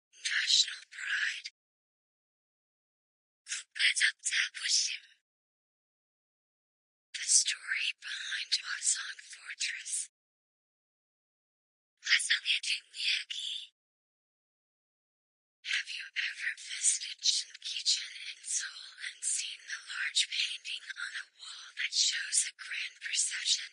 national pride the story behind Wasong Fortress have you ever visited Shinkichen in Seoul and seen the large painting on a wall that shows a grand procession?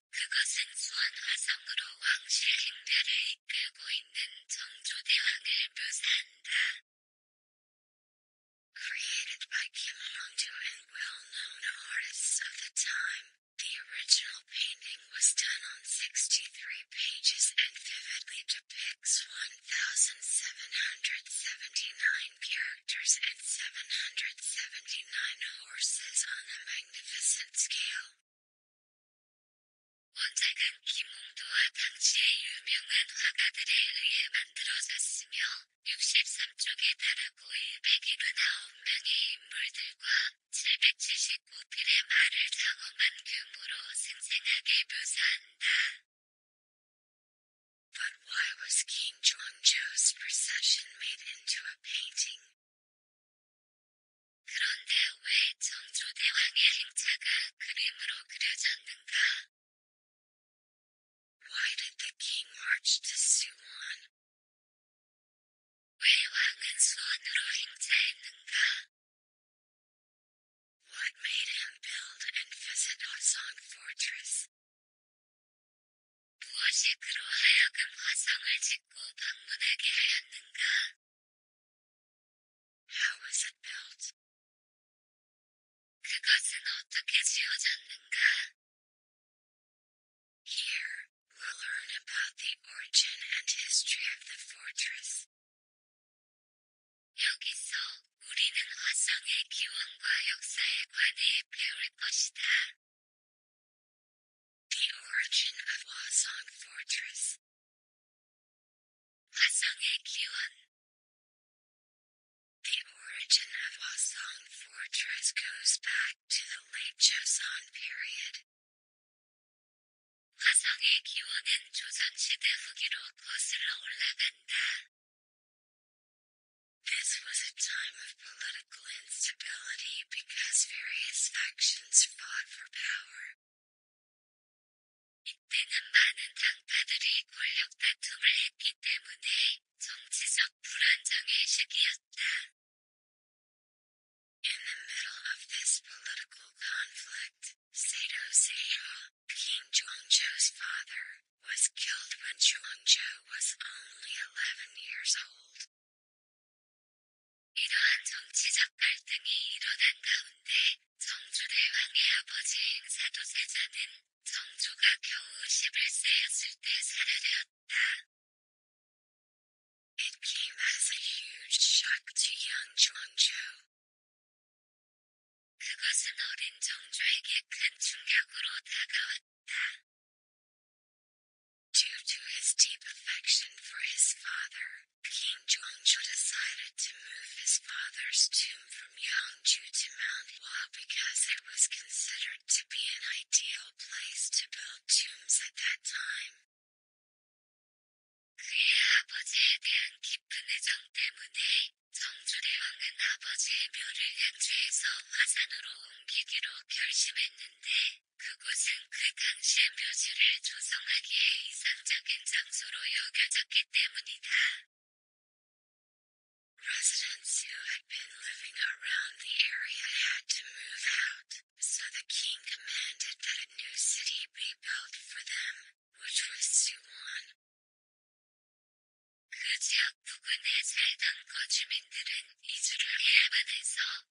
Created by Kim Hongdu and well-known artists of the time, the original painting was done on 63 pages and vividly depicts 1,779 characters and 779 horses on a magnificent scale. 원작은 김홍도와 당시의 유명한 화가들에 의해 만들어졌으며 63쪽에 달하고 179명의 인물들과 779필의 말을 장엄한 규모로 생생하게 묘사한다. But why was King John Joe's procession made into a painting? Why did the king march to Suwon? 왜 왕은 수원으로 행차했는가? What made him build and visit Osan Fortress? 무엇이 그로 하여금 화성을 짓고 방문하게 하였는가? How was it built? 그것은 어떻게 지어졌는가? Here we'll learn about the origin and history of the fortress. 여기서 우리는 화성의 기원과 역사에 관해 배울 것이다. The origin of Hwasong Fortress. The origin of Hwasong Fortress goes back to the late Joseon period. This was a time of political political instability because various factions fought for power. In the middle of this political conflict, Sato Seiha, King Zhuangzhou's father, was killed when Zhuangzhou was only 11 years old. 이러한 정치적 갈등이 일어난 가운데 정조대 왕의 아버지 행사도세자는 정조가 겨우 11세였을 때 살해되었다. It came as a huge shock to young Jeongjo. 그것은 어린 정조에게 큰 충격으로 다가왔다. Due to his deep affection for his father, King Jongju decided to move his father's tomb from Yangju to Mount Hua because it was considered to be an ideal place to build tombs at that time. 그의 아버지에 대한 깊은 애정 때문에 정주대왕은 아버지의 묘를 양주에서 화산으로 옮기기로 결심했는데 Residents who had been living around the area had to move out, so the king commanded that a new city be built for them, which was Suwon. 그 지역 부근에 살던 거주민들은 이주를 예방해서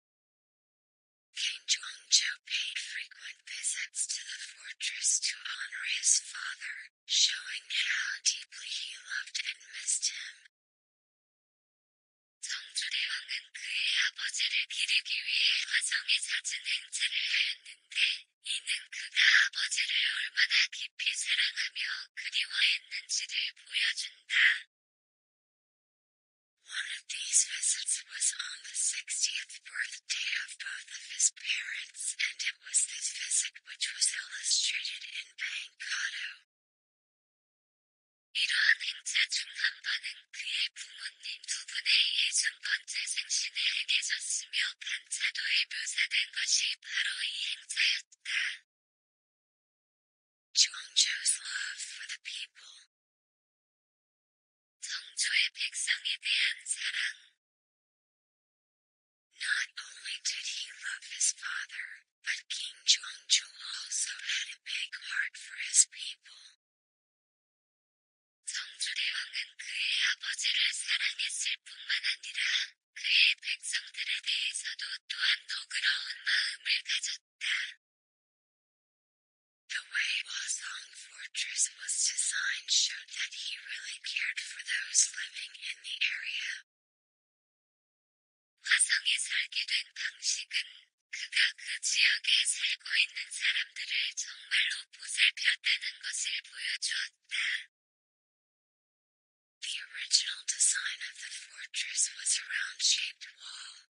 King Zhuangzhou paid frequent visits to the fortress to honor his father, showing how deeply he loved and missed him. 정주대왕은 그의 아버지를 기르기 위해 화성에 잦은 행차를 하였는데, 이는 그가 아버지를 얼마나 깊이 사랑하며 그리워했는지를 보여준다. One of these visits was on the sixtieth birthday of both of his parents, and it was this visit which was illustrated in Pankado. 이러한 행사 중한 번은 그의 부모님 두 분의 예순 번째 생신에 행해졌으며 반차도에 묘사된 것이 바로 이 행사였다. Zhuangzhou's love for the people. 성조의 Not only did he love his father, but King Jongju also had a big heart for his people. 정주대왕은 그의 아버지를 사랑했을 뿐만 아니라 그의 백성들에 대해서도 또한 너그러운 마음을 가졌다. The way Wasong Fortress was designed showed that he really cared for those living in the area. The original design of the fortress was a round-shaped wall,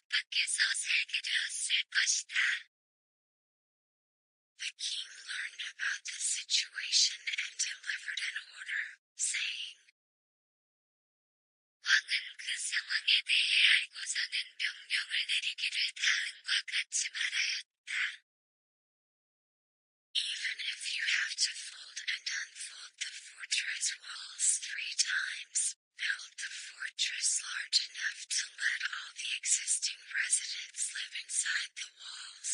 The king learned about the situation and delivered an order, saying, Even if you have to fold and unfold the fortress walls three times, built a fortress large enough to let all the existing residents live inside the walls.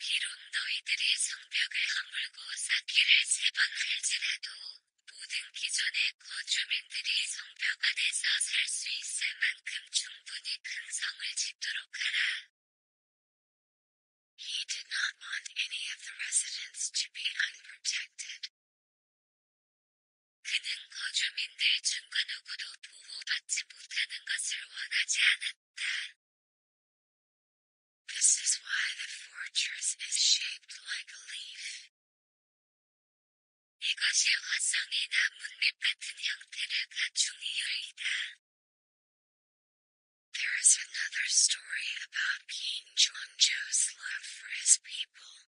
비록 너희들이 He did not want any of the residents to be unprotected, 그는 This is why the fortress is shaped like a leaf. 이것이 화성이나 문밑 같은 형태를 갖춘 이유이다. There is another story about King Jeonjo's love for his people.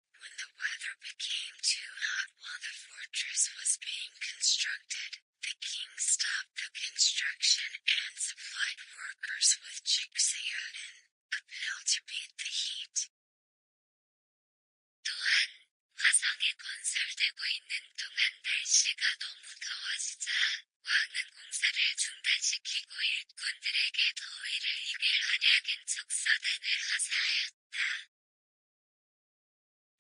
When the weather became too hot while the fortress was being constructed, the king stopped the construction and supplied workers with gypsyodin, a pill to beat the heat that.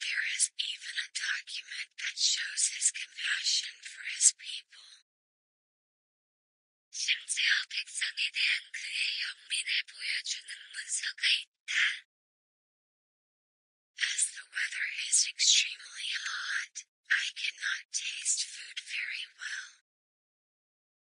There is even a document that shows his compassion for his people. As the weather is extremely hot, I cannot taste food very well.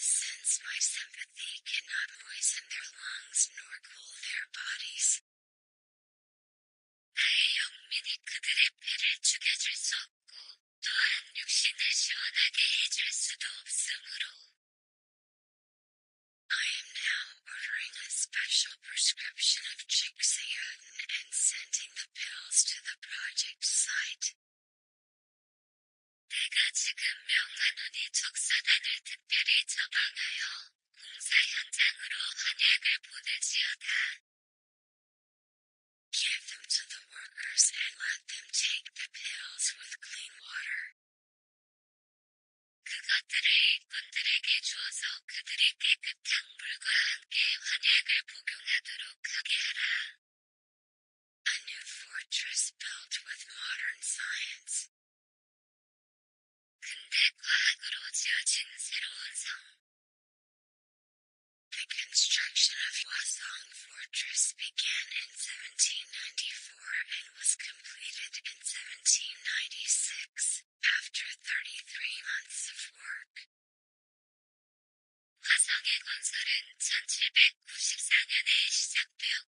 Since my sympathy cannot moisten their lungs nor cool their bodies, I am now ordering a special prescription of Chicxulin and sending the pills to the project site. 내가 지금 명하노니 적사단을 특별히 처방하여 공사 현장으로 헌약을 보내지어다. Give them to the workers and let them take the pills with clean water. 그것들을 일꾼들에게 주어서 그들이 깨끗한 그 물과 함께 헌약을 복용하도록 하게 하라. A new fortress built with modern science. The construction of Wasong Fortress began in 1794 and was completed in 1796, after 33 months of work. 화성의 건설은 1794년에 시작되었고,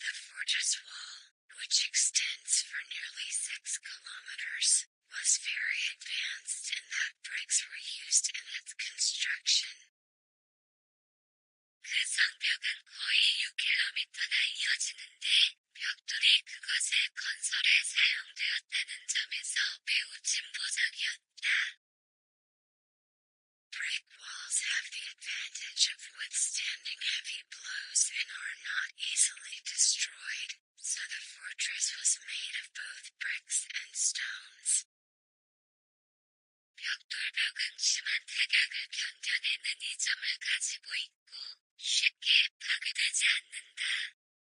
The fortress wall, which extends for nearly six kilometers, was very advanced and that bricks were used in its construction. 그 상벽은 거의 6km나 이어지는데 벽돌이 그것의 건설에 사용되었다는 점에서 매우 진보적이었다. Brick walls have the advantage of withstanding heavy blows and are not easily destroyed, so the fortress was made of both bricks and stones. 벽돌벽은 심한 타격을 견뎌내는 이점을 가지고 있고 쉽게 파괴되지 않는다.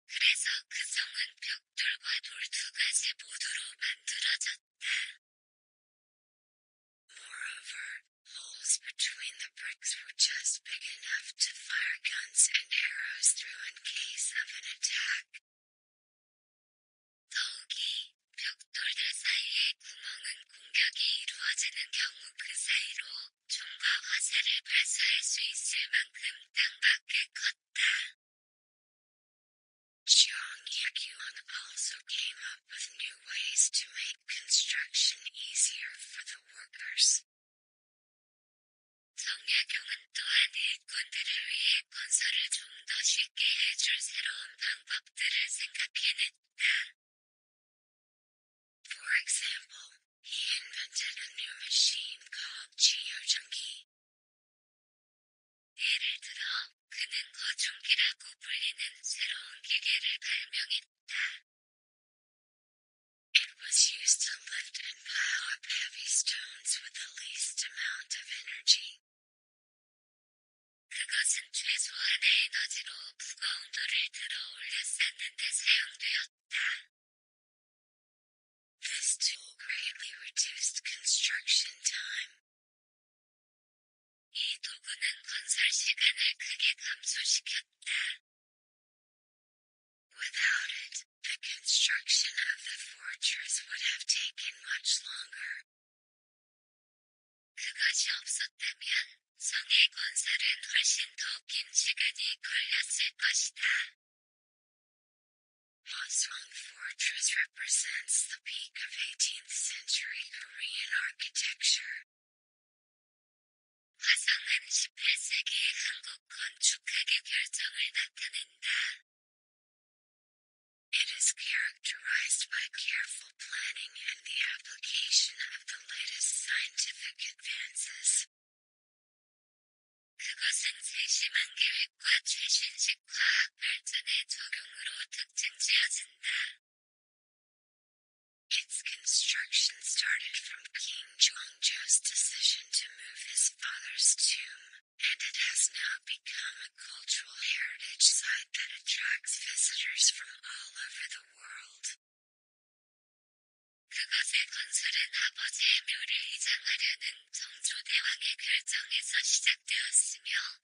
그래서 그 성은 벽돌과 돌 두 가지 모두로 만들어졌다. Moreover, holes between the bricks were just big enough to fire guns and arrows through in case of an attack. 더욱이 벽돌 다사이의 구멍은 공격이 이루어지는 경우 그 사이로 총과 화살을 발사할 수 있을 만큼 땅 밖에 컸다. Chiang Yik-yuan also came up with new ways to make construction easier for the workers. For example, he invented a new machine called Geojungi. It was used to lift and pile up heavy stones with the least amount of energy. 그것은 최소한의 에너지로 무거운 돌을 들어 올려 쌓는데 사용되었다. This tool greatly reduced construction time. Without it, the construction of the fortress would have taken much longer. 그것이 없었다면 성의 건설은 훨씬 더긴 시간이 걸렸을 것이다. Hosrong Fortress represents the peak of 18th century Korean architecture. It is characterized by careful planning and the application of the latest scientific advances. Its construction started from King Jongjo's decision to move his father's tomb, and it has now become a cultural heritage site that attracts visitors from all over the world. 그것의 건설은 아버지의 묘를 이장하려는 정조대왕의 결정에서 시작되었으며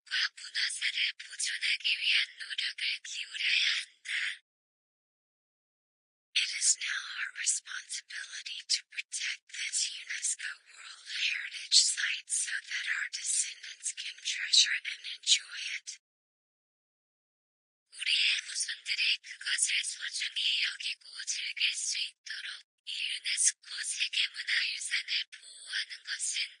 It is now our responsibility to protect this UNESCO World Heritage Site so that our descendants can treasure and enjoy it. 우리의 후손들이 그것을 소중히 여기고 즐길 수 있도록 이 유네스코 세계문화유산을 보호하는 것은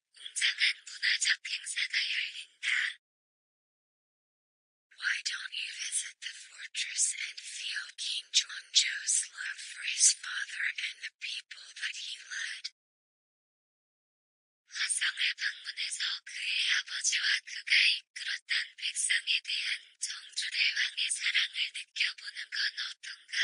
Why don't you visit the fortress and feel King Jeonjo's love for his father and the people that he led? 화성을 방문해서 그의 아버지와 그가 이끌었던 백성에 대한 정주대 왕의 사랑을 느껴보는 건 어떤가?